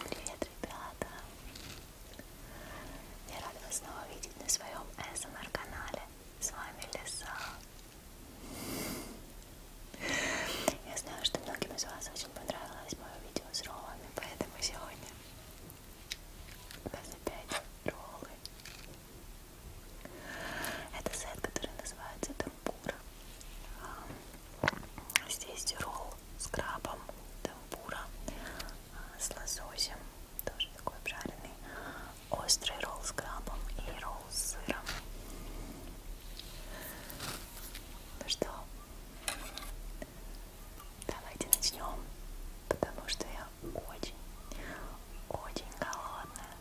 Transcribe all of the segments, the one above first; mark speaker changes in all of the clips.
Speaker 1: Привет, ребята! Я рада вас снова видеть на своем СМР-канале. С вами Лиса. Я знаю, что многим из вас очень понравилось мое видео с роллами, поэтому сегодня у нас опять роллы. Это сет, который называется Темпура. Здесь ролл с крабом, темпура, а, с лососем, тоже такой обжаренный, острый ролл с крабом и ролл с сыром. Ну что, давайте начнем, потому что я очень, очень голодная.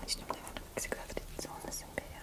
Speaker 1: Начнем, наверное, как всегда, традиционно с имбиря.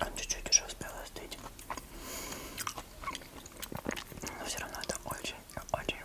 Speaker 1: Он а чуть-чуть уже успел остыть. Но все равно это очень-очень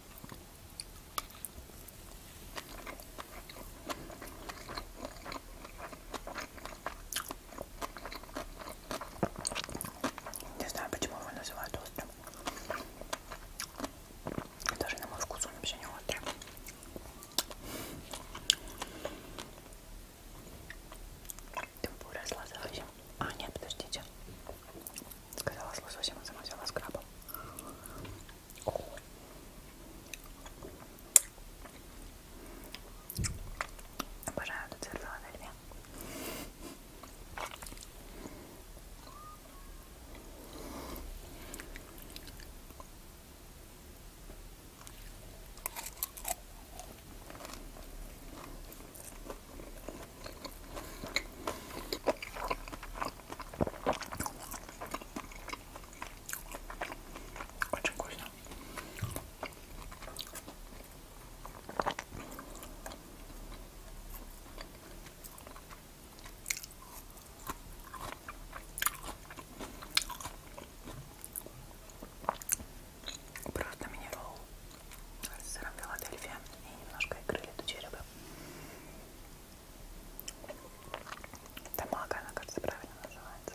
Speaker 1: Не знаю, почему его называют острым. Даже на мой вкус он вообще не острый. Темпура с лососем. А, нет, подождите. Сказала с лососем, а сама взяла с крабом. Обожаю этот цвет фаладельфия. Очень вкусно. Просто минерал с сыром Филадельфия и немножко икры летучей рыбы. Тамага, она, кажется, правильно называется.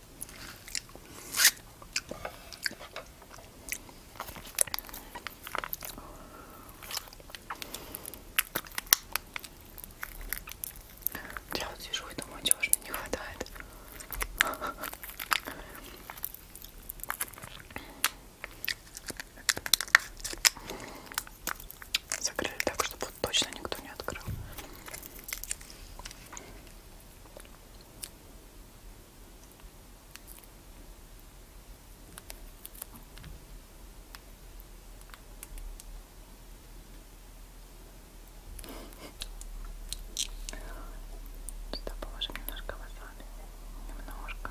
Speaker 1: Я вот сижу и думаю, чего же мне не хватает. Закрыли так, чтобы точно никто не открыл. Сюда положим немножко васаби, немножко.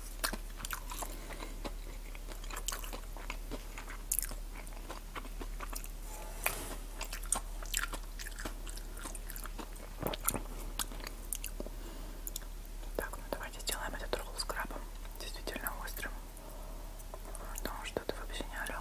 Speaker 1: Так, ну давайте сделаем этот ролл с крабом действительно острым. Потому что это вообще не орел.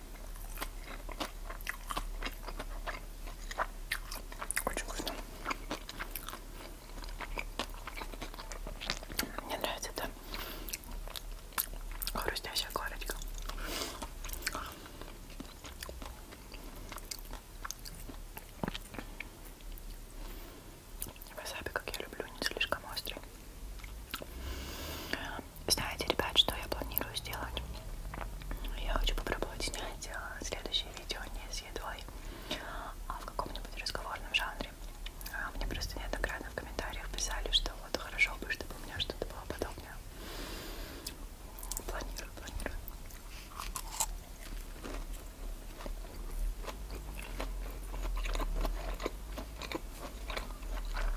Speaker 1: Очень вкусно. Мне нравится эта хрустящая корочка. Васаби, как я люблю, не слишком острый. Знаете, ребят, что я планирую сделать? Я хочу попробовать снять а, следующее видео не с едой, а в каком-нибудь разговорном жанре. А, мне просто неоднократно в комментариях писали, что вот хорошо бы, чтобы у меня что-то было подобное. Планирую, планирую.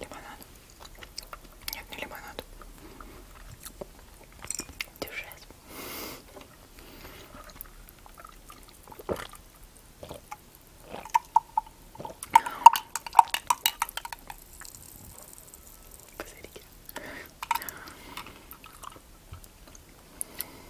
Speaker 1: Лимонад. Нет, не лимонад. Дюшес. Посмотрите.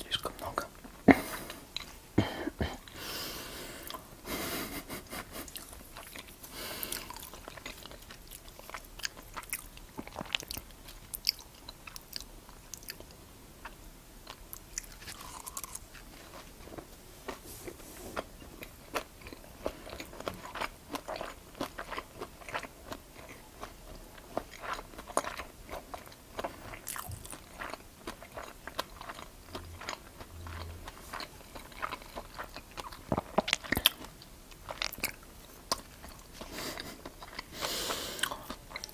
Speaker 1: Слишком много.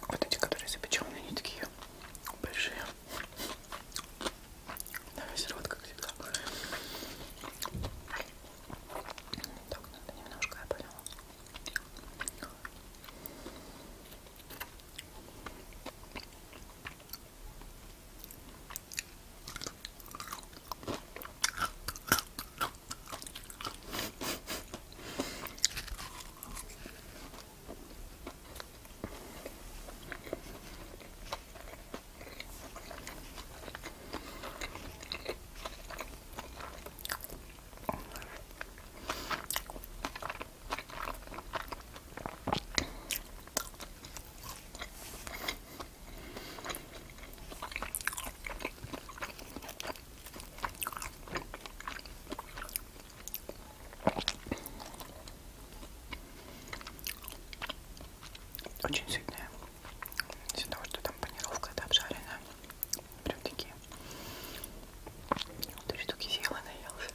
Speaker 1: Вот эти, которые запеченные, они такие большие. Да, все вот как всегда. Так, надо немножко, я поняла. Очень сильная из-за того, что там панировка это обжаренная. Прям такие. Три штуки съела, наелась.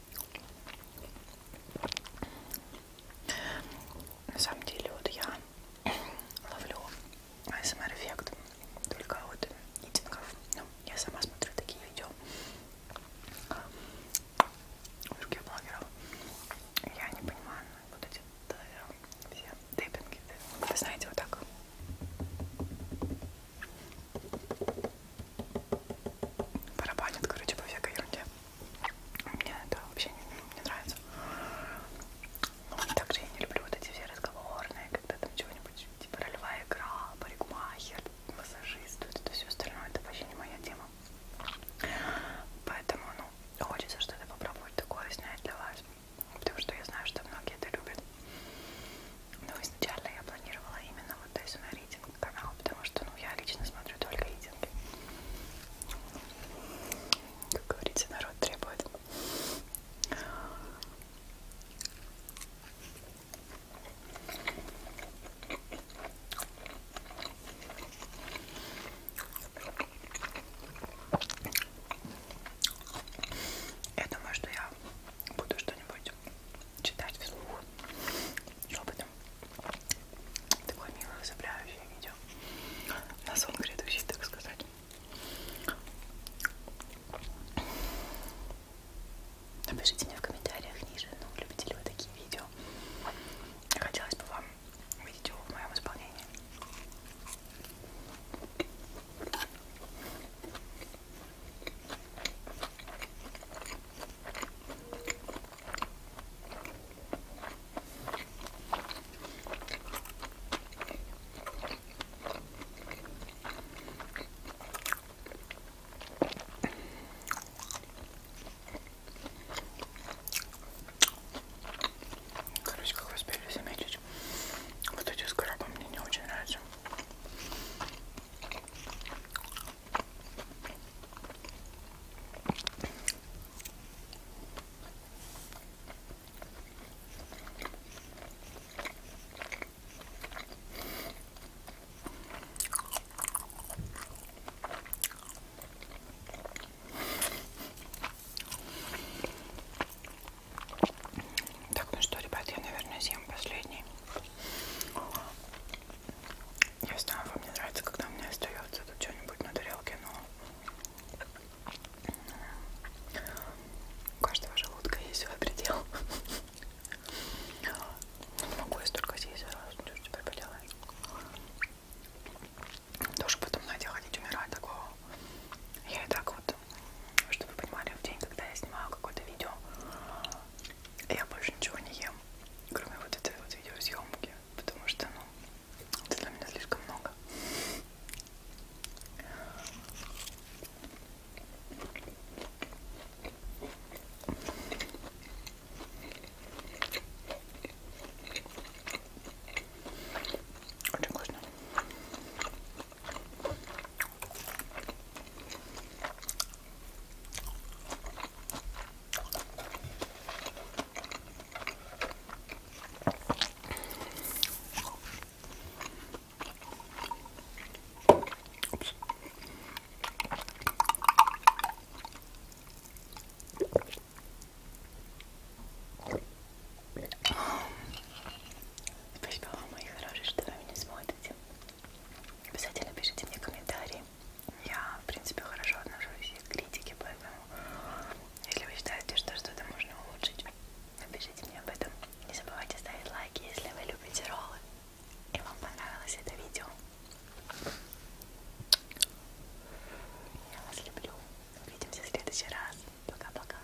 Speaker 1: На самом деле вот я ловлю ASMR-эффект только от митингов. Ну, я сама смотрю такие видео других блогеров. Я не понимаю вот эти да, все тейпинги. Вы знаете, вот так барабанит, короче, по всякой ерунде. Мне это вообще не, не нравится. Ну, и также я не люблю вот эти все разговорные, когда там чего-нибудь, типа ролевая игра, парикмахер, массажист, вот это все остальное, это вообще не моя тема. Поэтому, ну, хочется что-то попробовать такое снять для вас, потому что я знаю, что многие это любят. Но изначально я планировала именно работаюсь на рейтинг канал, потому что ну, я лично смотрю только рейтинги. Как говорите, народ требует. Я думаю, что я буду что-нибудь читать вслух шепотом. Такое милое, забирающее видео. На сон грядущий, так сказать. Напишите мне в комментариях ниже, ну, любите ли вы такие видео. Хотелось бы вам увидеть его в моем исполнении. Короче, как вы успели заметить, вот эти с крабом мне не очень нравятся. Так, ну что, ребят, я, наверное, съем последний. Я знаю, вам не нравится, когда мне остается тут что-нибудь на тарелке, но у каждого желудка есть свой предел. Не ну, могу я столько съесть сразу, что теперь поделаешь. Тоже потом, знаете, ходить умирать такого. Я и так вот, чтобы вы понимали, в день, когда я снимаю какое-то видео, я больше ничего не ем, кроме вот этой вот видеосъемки, потому что, ну, это для меня слишком много. Очень вкусно. Oops. Спасибо вам, мои хорошие, что вы меня смотрите. Обязательно пишите мне комментарии. Я, в принципе, хорошо отношусь к критике, поэтому если вы считаете, что что-то можно улучшить, напишите мне об этом. Не забывайте ставить лайки, если вы любите роллы и вам понравилось это видео. Я вас люблю. Увидимся в следующий раз. Пока-пока.